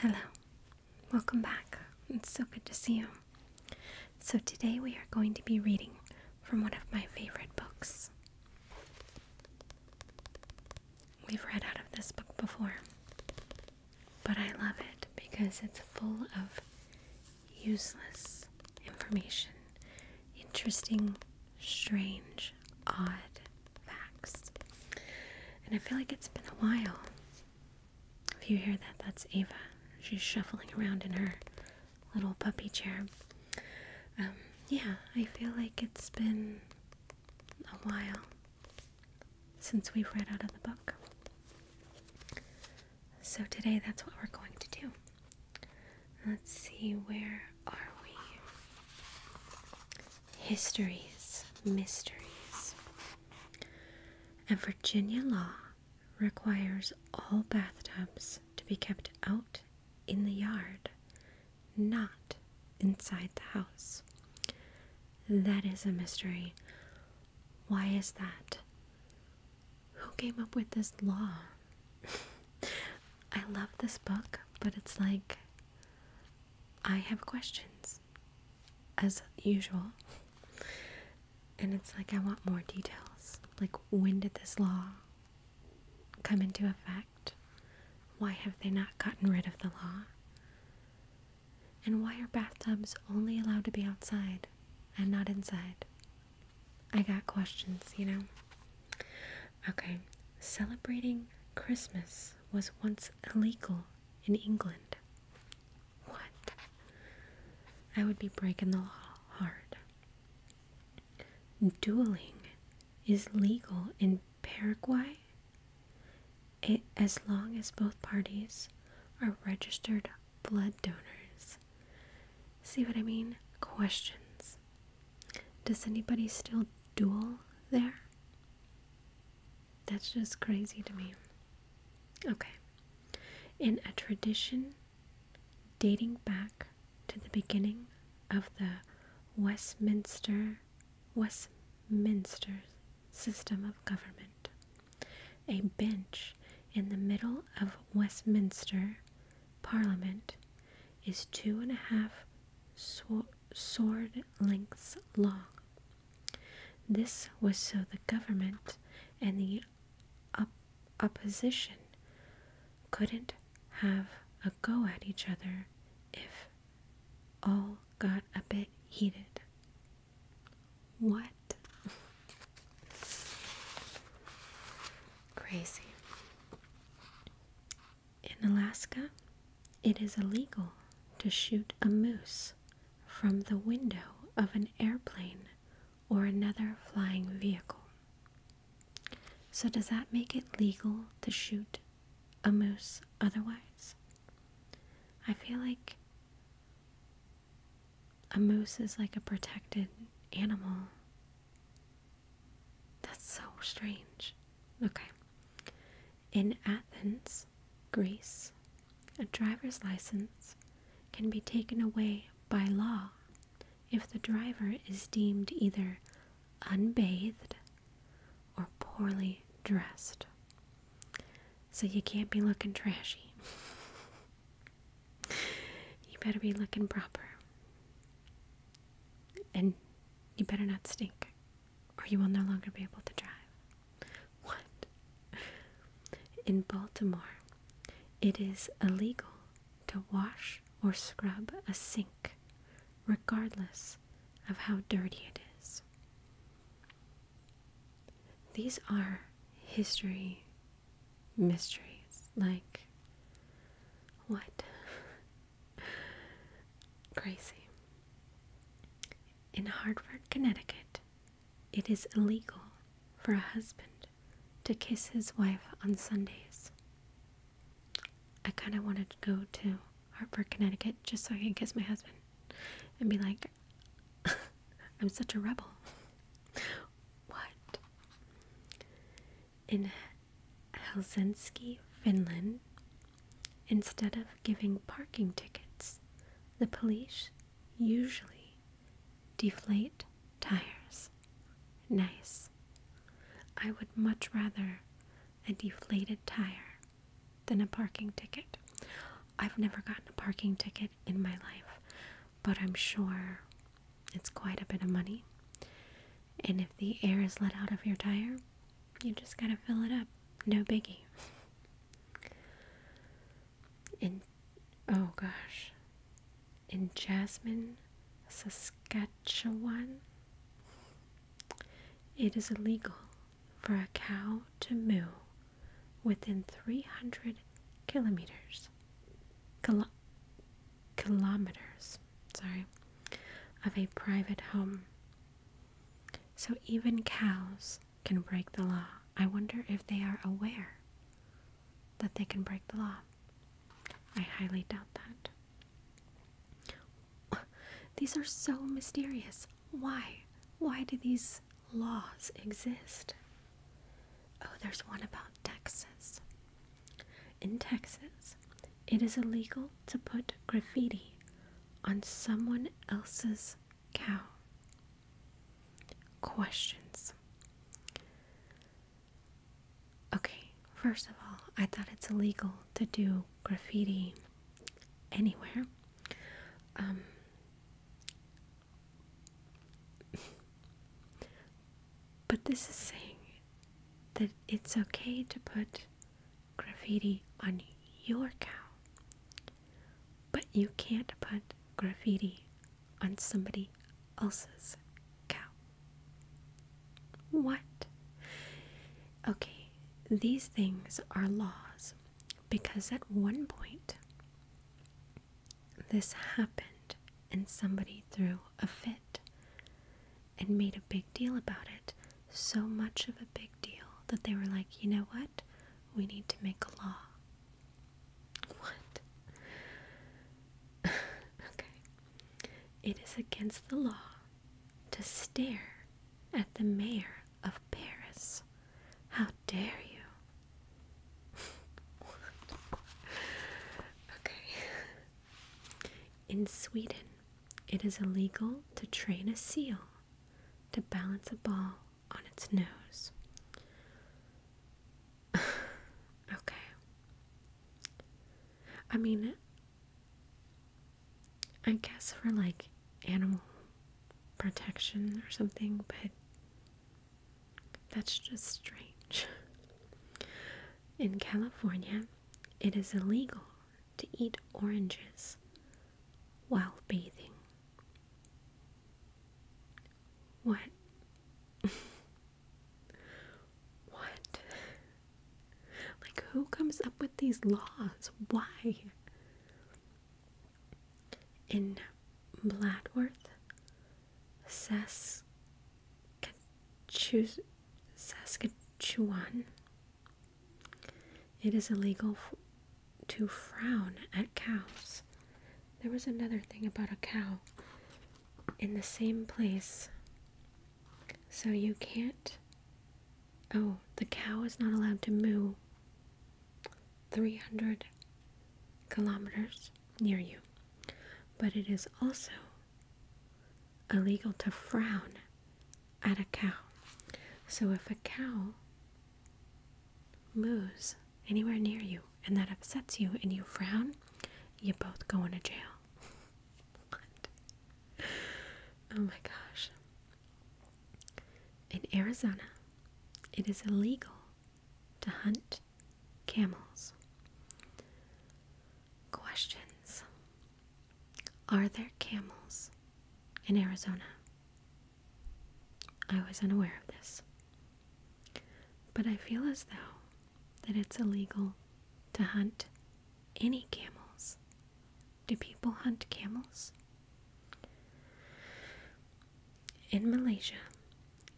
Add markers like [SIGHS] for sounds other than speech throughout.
Hello, welcome back. It's so good to see you. So, today we are going to be reading from one of my favorite books. We've read out of this book before, but I love it because it's full of useless information, interesting, strange, odd facts. And I feel like it's been a while. If you hear that, that's Ava. She's shuffling around in her little puppy chair. Um, yeah, I feel like it's been a while since we've read out of the book. So today, that's what we're going to do. Let's see, where are we? Histories, mysteries. And Virginia law requires all bathtubs to be kept out in the yard, not inside the house. That is a mystery. Why is that? who came up with this law? I love this book, but it's like I have questions as usual. And it's like I want more details. Like when did this law come into effect? Why have they not gotten rid of the law? And why are bathtubs only allowed to be outside and not inside? I got questions, you know? Okay, celebrating Christmas was once illegal in England. What? I would be breaking the law hard. Dueling is legal in Paraguay it, eh, as long as both parties are registered blood donors. See what I mean? Questions. Does anybody still duel there? That's just crazy to me. Okay. In a tradition dating back to the beginning of the Westminster Westminster system of government. A bench in the middle of Westminster Parliament is two and a half sword lengths long. This was so the government and the opposition couldn't have a go at each other if all got a bit heated. What? [LAUGHS] Crazy. In Alaska, it is illegal to shoot a moose from the window of an airplane or another flying vehicle. So, does that make it legal to shoot a moose otherwise? I feel like a moose is like a protected animal that's so strange. Okay. In Athens, Greece, a driver's license can be taken away by law if the driver is deemed either unbathed or poorly dressed. So you can't be looking trashy. [LAUGHS] You better be looking proper. And you better not stink, or you will no longer be able to drive. What? In Baltimore, it is illegal to wash or scrub a sink, regardless of how dirty it is. These are history mysteries like what? Crazy. [LAUGHS] In Hartford, Connecticut, it is illegal for a husband to kiss his wife on Sundays. I kind of wanted to go to Hartford, Connecticut just so I can kiss my husband and be like, [LAUGHS] I'm such a rebel. What? In Helsinki, Finland, instead of giving parking tickets, the police usually deflate tires. Nice. I would much rather a deflated tire than a parking ticket. I've never gotten a parking ticket in my life but I'm sure it's quite a bit of money. And if the air is let out of your tire, you just gotta fill it up. No biggie. In oh gosh. In Jasmine, Saskatchewan, it is illegal for a cow to moo within 300 kilometers kilometers, sorry, of a private home. So even cows can break the law. I wonder if they are aware that they can break the law. I highly doubt that. [LAUGHS] These are so mysterious. Why? Why do these laws exist? Oh, there's one about Texas. In Texas, it is illegal to put graffiti on someone else's cow. Questions. Okay, first of all, I thought it's illegal to do graffiti anywhere. Um, but this is saying that it's okay to put graffiti on your cow, but you can't put graffiti on somebody else's cow. What? Okay, these things are laws because at one point this happened and somebody threw a fit and made a big deal about it. So much of a big deal that they were like, you know what? We need to make a law. What? [LAUGHS] okay. It is against the law to stare at the mayor of Paris. How dare you? okay. In Sweden, it is illegal to train a seal to balance a ball on its nose. [LAUGHS] okay. I mean, I guess for like animal protection or something, but that's just strange. In California, it is illegal to eat oranges while bathing. What? [LAUGHS] what? Like, who comes up with these laws? Why? In Bladworth, Saskatchewan. It is illegal to frown at cows. There was another thing about a cow in the same place. So you can't. Oh, the cow is not allowed to moo 300 kilometers near you, but it is also illegal to frown at a cow. So if a cow moves anywhere near you and that upsets you and you frown, you both go into jail. [LAUGHS] Oh my gosh. In Arizona, it is illegal to hunt camels. Questions Are there camels in Arizona? I was unaware of this. But I feel as though that it's illegal to hunt any camels. Do people hunt camels? In Malaysia,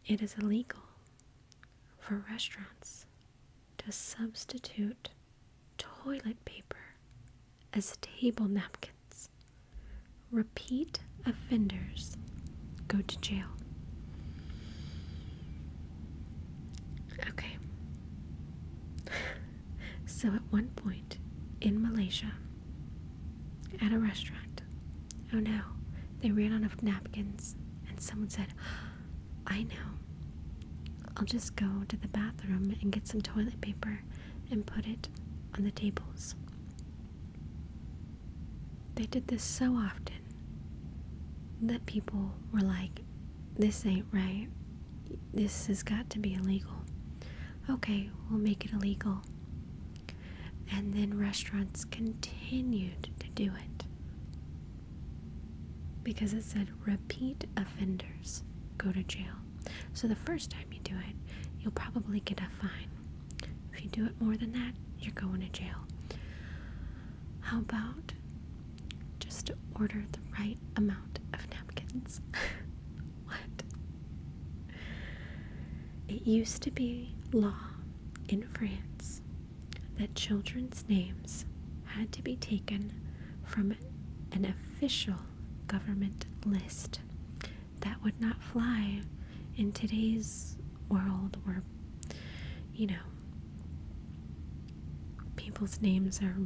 it is illegal for restaurants to substitute toilet paper as table napkins. Repeat offenders go to jail. Okay. [LAUGHS] so at one point in Malaysia, at a restaurant, Oh no, they ran out of napkins, and someone said, I know. I'll just go to the bathroom and get some toilet paper and put it on the tables. They did this so often that people were like, This ain't right. This has got to be illegal. Okay, we'll make it illegal. And then restaurants continued to do it because it said repeat offenders go to jail. So the first time you do it, you'll probably get a fine. If you do it more than that, you're going to jail. How about just order the right amount of napkins? [LAUGHS] what? It used to be law in France that children's names had to be taken from an official government list. That would not fly in today's world where, you know, people's names are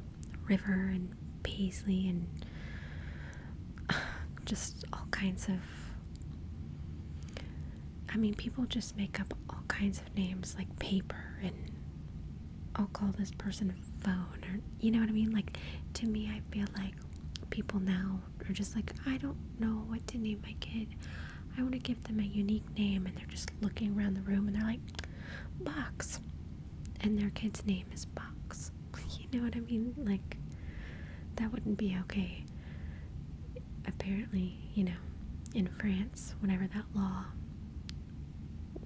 River and Paisley and [SIGHS] just all kinds of I mean, people just make up all kinds of names like paper and I'll call this person phone or you know what I mean? Like to me, I feel like people now are just like, I don't know what to name my kid. I want to give them a unique name, and they're just looking around the room and they're like, Box. And their kid's name is Box. [LAUGHS] You know what I mean? Like, that wouldn't be okay. Apparently, you know, in France, whenever that law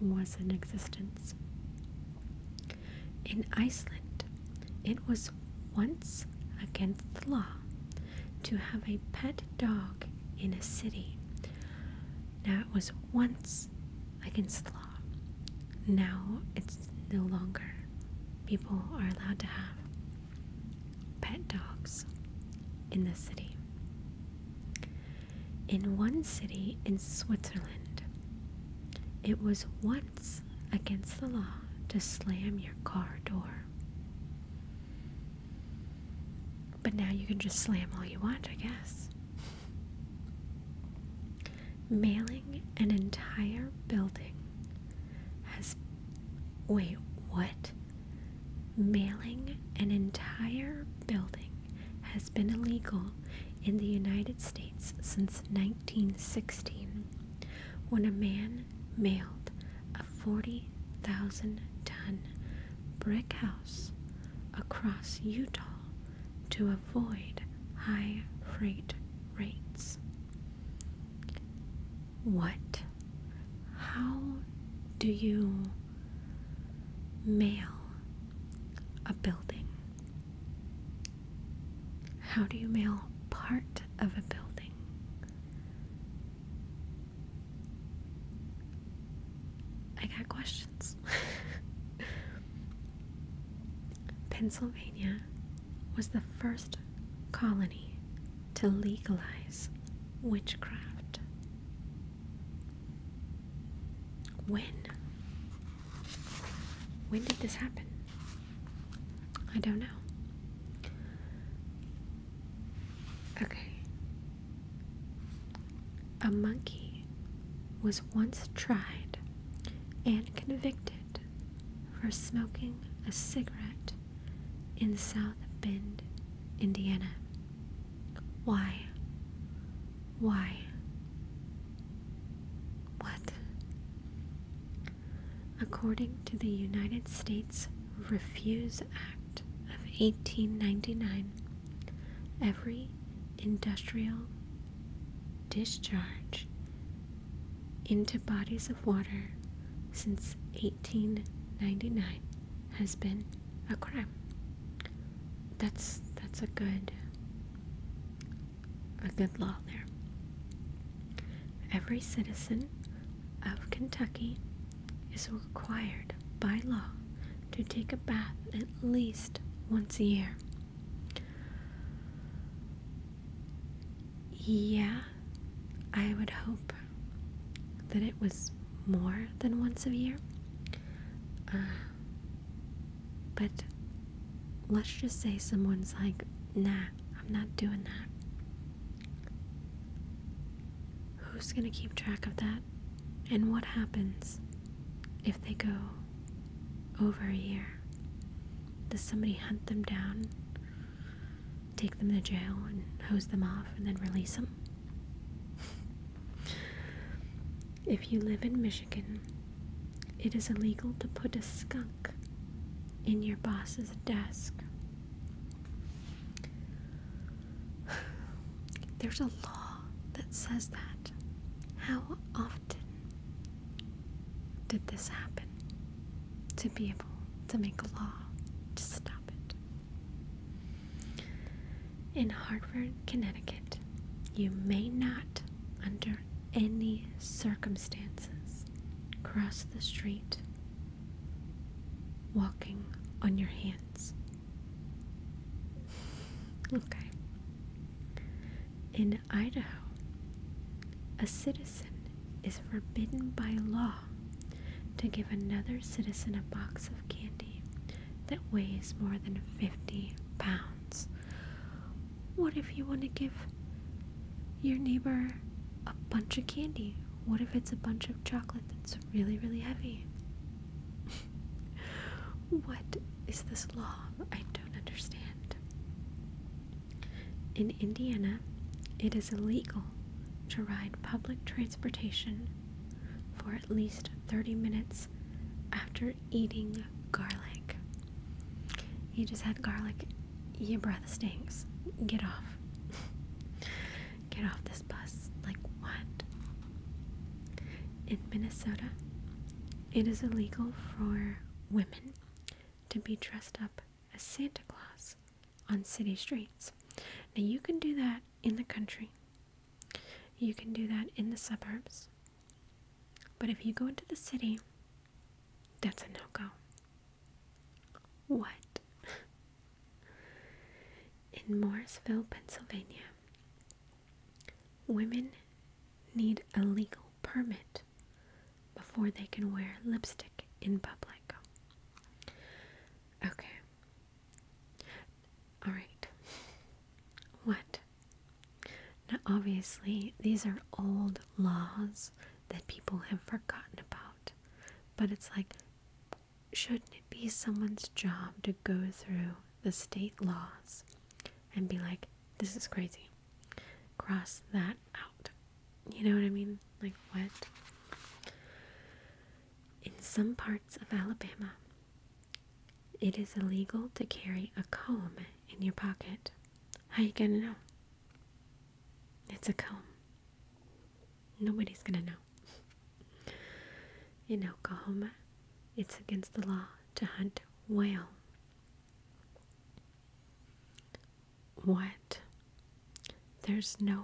was in existence, in Iceland, it was once against the law to have a pet dog in a city. Now, it was once against the law. Now, it's no longer. People are allowed to have pet dogs in the city. In one city in Switzerland, it was once against the law to slam your car door. But now you can just slam all you want, I guess. Mailing an entire building has Wait, what? Mailing an entire building has been illegal in the United States since 1916 when a man mailed a 40,000 ton brick house across Utah to avoid high freight rates. What? How do you mail a building? How do you mail part of a building? I got questions. [LAUGHS] Pennsylvania was the first colony to legalize witchcraft. When? When did this happen? I don't know. Okay. A monkey was once tried and convicted for smoking a cigarette in South Bend, Indiana. Why? Why? What? According to the United States Refuse Act of 1899, every industrial discharge into bodies of water since 1899 has been a crime. That's that's a good a good law there. Every citizen of Kentucky is required by law to take a bath at least once a year. Yeah, I would hope that it was more than once a year. Uh, but let's just say someone's like, nah, I'm not doing that. Who's gonna keep track of that? And what happens if they go over a year? Does somebody hunt them down? take them to jail and hose them off and then release them. if you live in Michigan, it is illegal to put a skunk in your boss's desk. [SIGHS] There's a law that says that. How often did this happen to be able to make a law to stop it. In Hartford, Connecticut, you may not, under any circumstances, cross the street walking on your hands. Okay. In Idaho, a citizen is forbidden by law to give another citizen a box of candy that weighs more than 50 pounds. What if you want to give your neighbor a bunch of candy? What if it's a bunch of chocolate that's really, really heavy? [LAUGHS] what is this law? I don't understand. In Indiana, it is illegal to ride public transportation for at least 30 minutes after eating garlic. You just had garlic, your breath stinks. Get off. [LAUGHS] Get off this bus. Like what? In Minnesota, it is illegal for women to be dressed up a Santa Claus on city streets. Now, you can do that in the country, you can do that in the suburbs, but if you go into the city, that's a no go. What? In Morrisville, Pennsylvania, women need a legal permit before they can wear lipstick in public. Okay. Alright. What? Now, obviously, these are old laws that people have forgotten about, but it's like, shouldn't it be someone's job to go through the state laws and be like, this is crazy? cross that out. You know what I mean? Like, what? In some parts of Alabama, it is illegal to carry a comb in your pocket. How you gonna know? It's a comb. Nobody's gonna know. In Oklahoma, it's against the law to hunt whale what? There's no.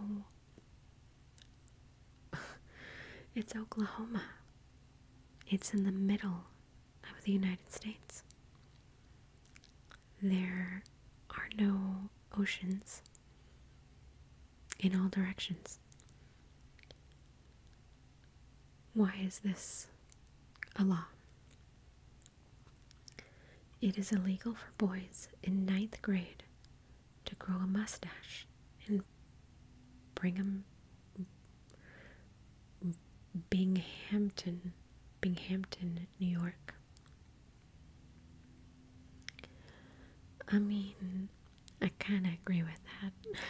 [LAUGHS] it's Oklahoma. It's in the middle of the United States. There are no oceans in all directions. Why is this a law? It is illegal for boys in ninth grade to grow a mustache in Brigham Binghamton, Binghamton, New York. I mean, I kind of agree with that.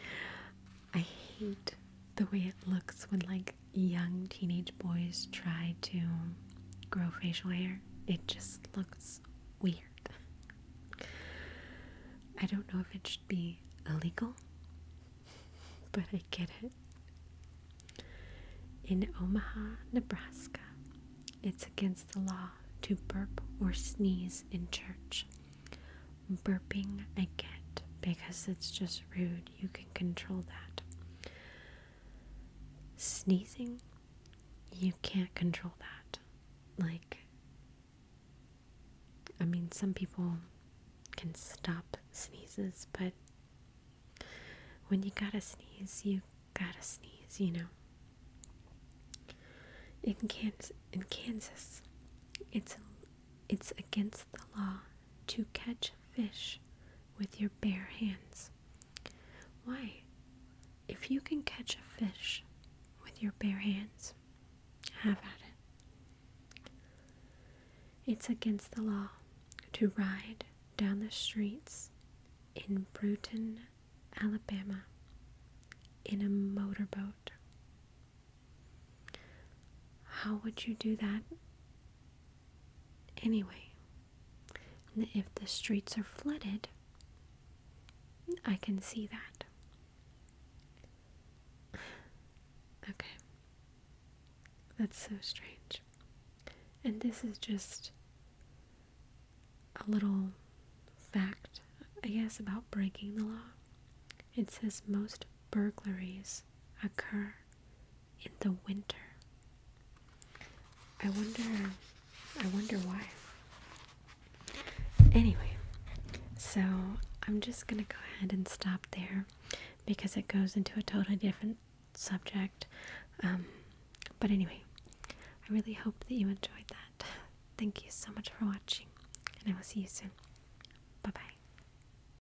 [LAUGHS] I hate the way it looks when, like, young teenage boys try to grow facial hair, it just looks weird. I don't know if it should be illegal, but I get it. In Omaha, Nebraska, it's against the law to burp or sneeze in church. Burping, I get because it's just rude. You can control that. Sneezing, you can't control that. Like, I mean, some people can stop sneezes, but when you gotta sneeze, you gotta sneeze, you know. In Kansas, in Kansas, it's it's against the law to catch fish with your bare hands. Why? If you can catch a fish with your bare hands, have at it. It's against the law to ride down the streets in Bruton, Alabama, in a motorboat. How would you do that Anyway, if the streets are flooded, I can see that. Okay. That's so strange. And this is just a little fact, I guess, about breaking the law. It says most burglaries occur in the winter. I wonder I wonder why. Anyway, so I'm just gonna go ahead and stop there because it goes into a totally different subject. Um, but anyway, I really hope that you enjoyed that. Thank you so much for watching, and I will see you soon. Bye bye.